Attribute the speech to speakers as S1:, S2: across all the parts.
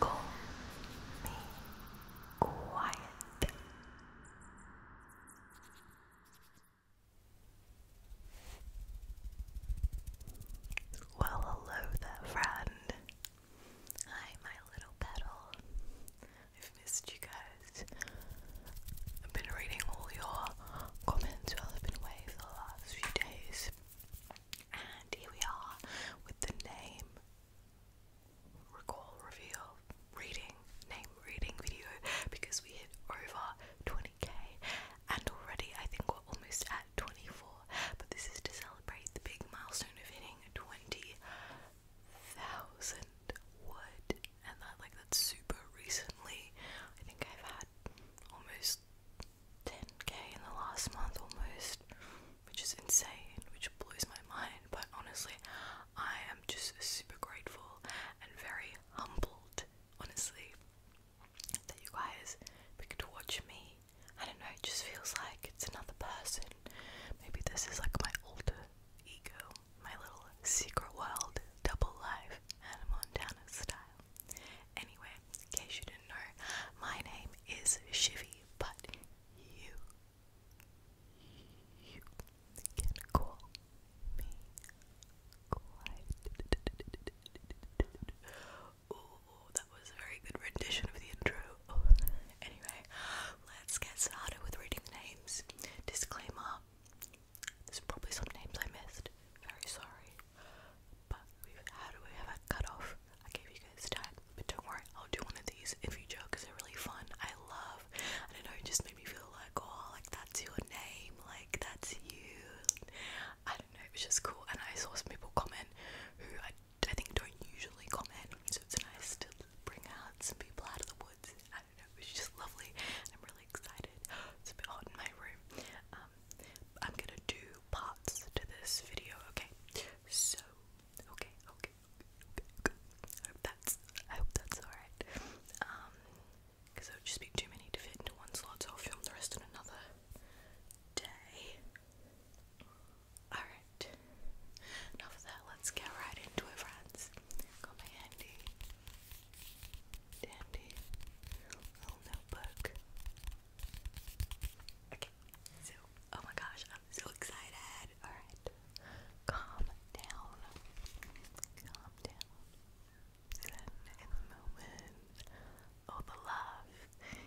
S1: Call me quiet. Well, hello there, friend. Hi, my little petal. I've missed you guys. I've been reading all your comments while I've been away for the last few days. And here we are with the name recall reveal reading name reading video because we hit over 20k and already I think we're almost at 24 but this is to celebrate the big milestone of hitting 20,000 wood and that like that's super recently I think I've had almost 10k in the last month almost, which is insane, which blows my mind. But honestly, I am just super grateful and very humbled, honestly, that you guys picked to watch me. I don't know, it just feels like it's another person. Maybe this is like my alter ego, my little secret world, double life, and Hannah Montana style. Anyway, in case you didn't know, my name is Shivy, but you, you can call me Clyde. Ooh, that was a very good rendition of the intro. Anyway, let's get started with reading the names. Disclaimer there's probably some names I missed. Very sorry. But we've had we have a cutoff. I gave you guys time. But don't worry, I'll do one of these if you joke because they're really fun. I love I don't know, it just made me feel like, oh like that's your name, like that's you. I don't know, it was just cool and I saw some people comment who I I think don't usually comment, so it's nice to bring out some people out of the woods. I don't know, it was just lovely and I'm really excited. It's a bit hot in my room. Um, I'm gonna do parts to this video, okay? So, okay, okay, okay, I hope that's, I hope that's alright. Um, because it would just be too many to fit into one slot, so I'll film the rest on another day. Alright, enough of that, let's get right into it, friends. Got my handy dandy little notebook. Okay, so oh my gosh, I'm so excited. Alright, calm down, calm down. in the moment, oh the love.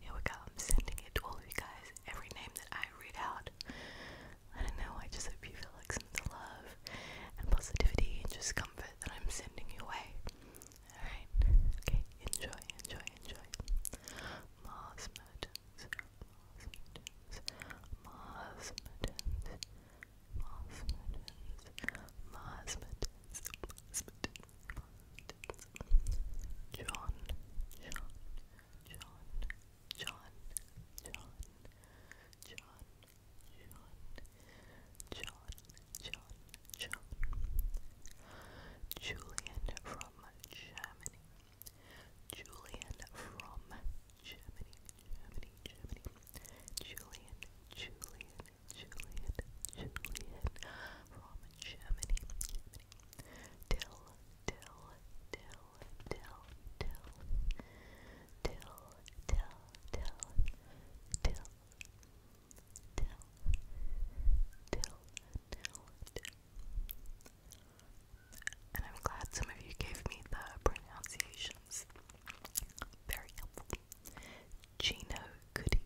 S1: Here we go. sending it to all of you guys. Every name that I read out. I don't know. I just hope you feel like and love and positivity and just comfort that I'm sending you away. Alright? Okay, enjoy, enjoy, enjoy. Mars Mertens, Mars Mertens, Mars John, John, John, John, John. John, John, John, John, Julian from Germany, Julian from Germany, Germany, Germany, Julian, Julian, Julian, Julian from Germany, Germany, Dill, Dill, Dill, Dill, Dill, Dill, and I'm glad some of you gave me the pronunciations. Very helpful. Gino Goody.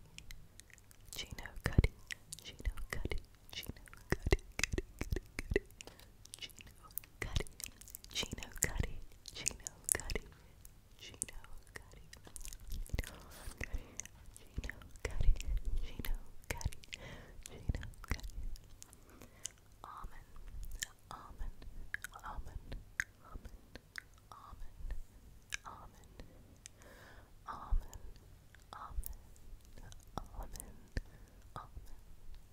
S1: Gino Cuddy. Gino Cuddy. Gino Cuddy. Gino Cuddy. Gino Cuddy, Gino Cuddy, Gino Cuddy, Gino Cuddy, Gino Cuddy, Gino Cuddy, Gino Cuddy, Gino Cuddy. Amen, amen, amen, amen, amen, amen, amen, amen, amen, amen. Amen.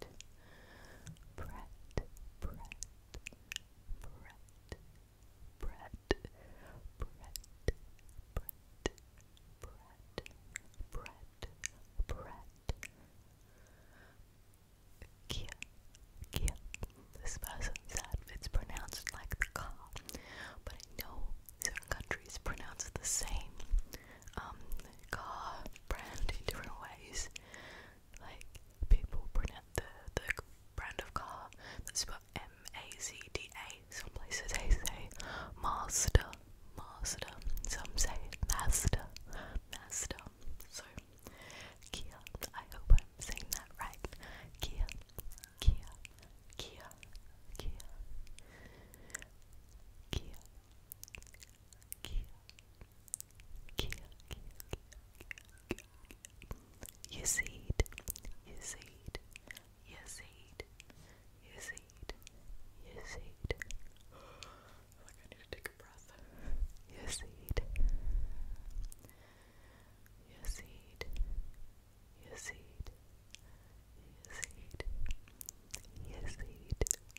S1: Brett, Brett, Brett, Brett, Brett, Brett, Brett, Brett, Brett, Brett. Kia, This person said it's pronounced like the car, but I know certain countries pronounce it the same. car brand in different ways. Like people pronounce the the brand of car that's spelled M A Z D A. Some places they say master, master. Some say master, master. So Kia. I hope I'm saying that right. Kia, Kia, Kia, Kia, Kia, Kia, Cute, cute, cute, cute, cute. You see it, you see it, you see it, you see it, you see it. Like I need to take a breath. You see it, you see it, you see it, you see it, you see it.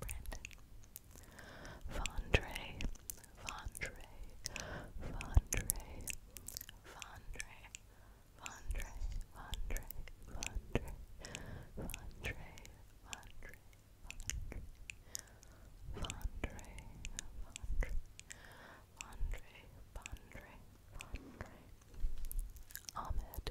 S1: Brandon, Vondre, Vondre, Vondre, Vondre, Vondre, Vondre, Vondre, Vondre, Vondre, Vondre, Vondre, Vondre, Vondre, Vondre, Ahmed,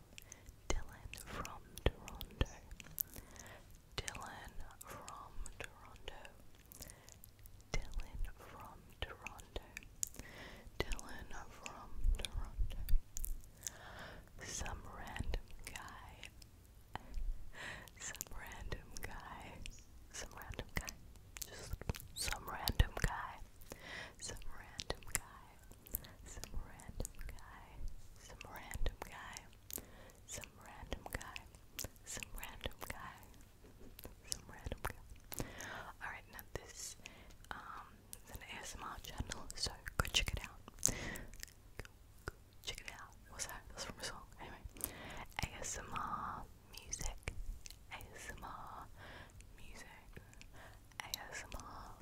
S1: Dylan from Toronto. Dylan from Toronto. Dylan from Toronto. Dylan from Toronto. Some random guy. Some random guy. Some random guy. Just some random guy. Some random guy some random guy. Some random guy. Some random guy. Some random guy. Some random guy. Alright, now this um, is an ASMR channel, so go check it out. check it out. What's that? That's from a song. Anyway. ASMR music. ASMR music. ASMR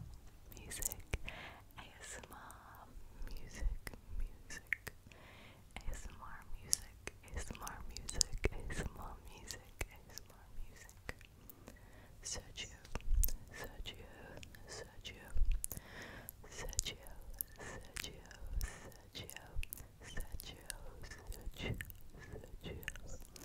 S1: music, ASMR music, music, ASMR music, ASMR music, ASMR music, ASMR music. Sergio, Sergio, Sergio, Sergio, Sergio, Sergio, Sergio, Sergio, Sergio.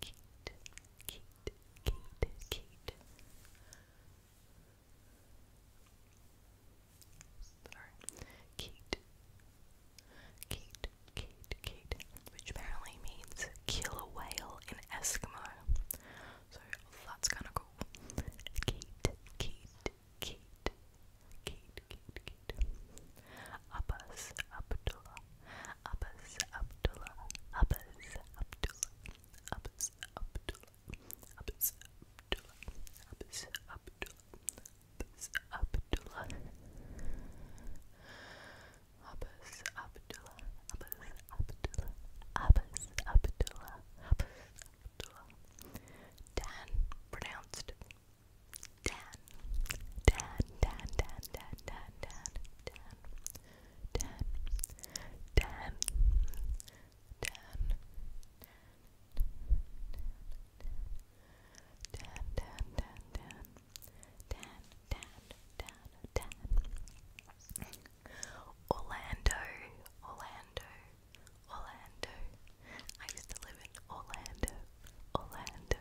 S1: Kate, Kate, Kate, Kate. Sorry. Kate. Kate, Kate, Kate. Which apparently means kill a whale in Eskimo. So that's kinda cool. Kate, Kate, Kate. Kate, Kate, Kid, Abbas Abdullah, Abbas Abdullah, Abbas Abdullah, Abbas Abdullah, Abbas Abdullah, Abbas Abdullah, Abbas Abdullah, Abbas Abdullah, Abbas Abdullah, Abbas Abdullah, Abbas Abdullah, Dan pronounced Dan, Dan, Dan, Dan, Dan, Dan, Dan, Dan, Dan, Dan, Dan, Dan, Dan, Dan, Dan, Dan, Dan, Dan, Dan, Orlando, Orlando, Orlando. I used to live in Orlando, Orlando,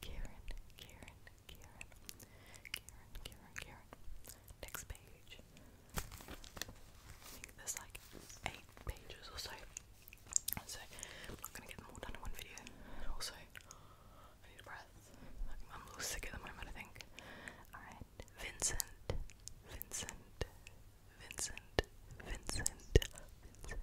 S1: Karen, Karen, Karen, Karen, Karen, Karen. Next page. I think like eight pages or so. So I'm not gonna get them all done in one video. Also, I need a breath. I'm a sick at the moment, I think. Alright, Vincent, Vincent, Vincent, Vincent, Vincent, Vincent,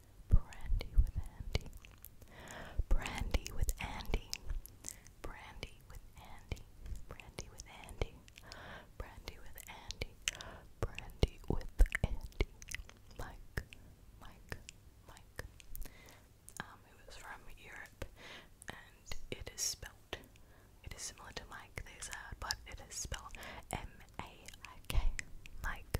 S1: Brandy with Andy. Brandy with Andy. Brandy with Andy. Brandy with Andy. Brandy with Andy. Brandy with Andy. Mike. Mike. Mike. Um, it was from Europe and it is spelled it is similar to Mike, they said, but it is spelled M A I K Mike.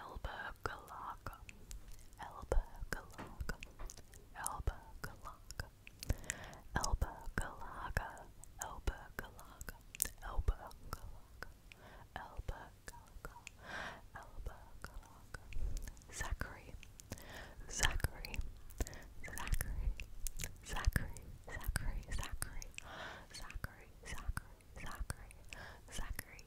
S1: Elba Galaka, Elba Galaka, Elba Galaka, Elba Galaka, Elba Galaka, Elba Galaka, Elba Galaka, Elba Galaka, Zachary, Zachary, Zachary, Zachary, Zachary, Zachary, Zachary, Zachary, Zachary, Zachary,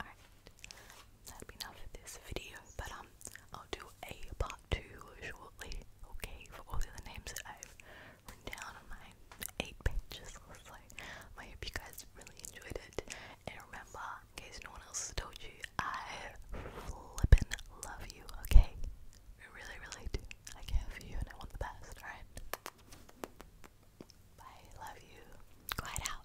S1: Alright, that'd be enough for this video, but um, I'll do a part 2 shortly, okay, for all the other names I've written down on my 8 pages or so. I hope you guys really enjoyed it, and remember, in case no one else told you, I flippin' love you, okay? I really, really do. I care for you and I want the best, alright? Bye, love you. Quiet out.